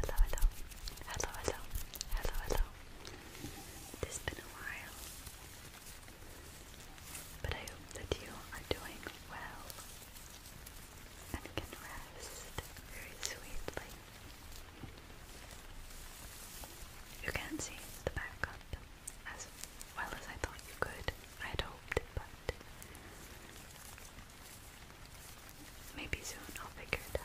Hello, hello, hello, hello, hello, It's been a while, but I hope that you are doing well and can rest very sweetly. You can't see the backup as well as I thought you could. I hoped, but Maybe soon I'll figure it out.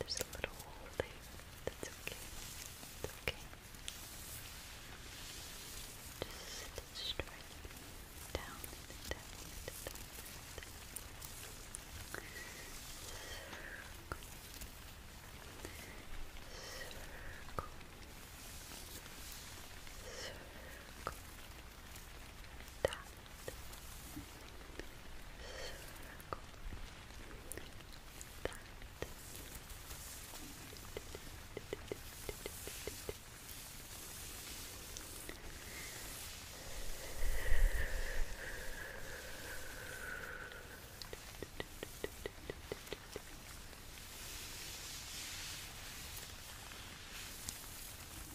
There's a little hole That's okay. It's okay. Just straight down down down. Circle. Circle. Circle that circle that Good.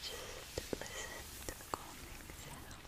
Just listen to the calming sound.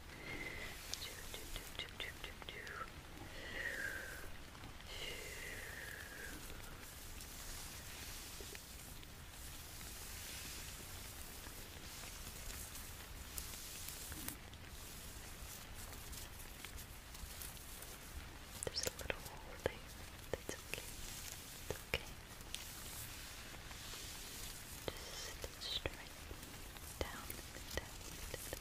There's a little hole there. That's okay. It's okay. Just straight down, down, down, down. Circle.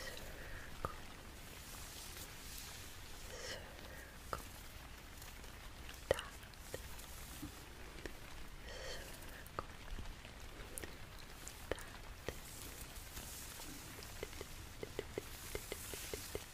Circle. Circle. Dot. Circle. Dot.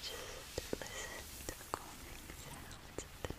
Just listen to the calming sounds of the night.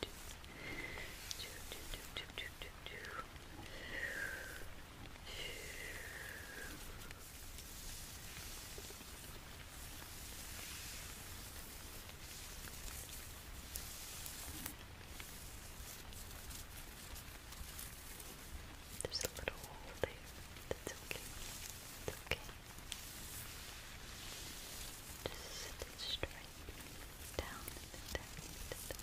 There's a little hole there. That's okay. That's okay. Just sit straight down, down, down, down. Circle.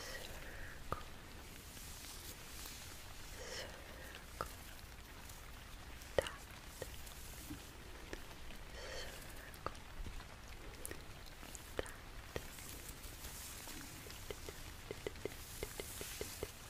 Circle. Circle. Dot. Circle. Dot.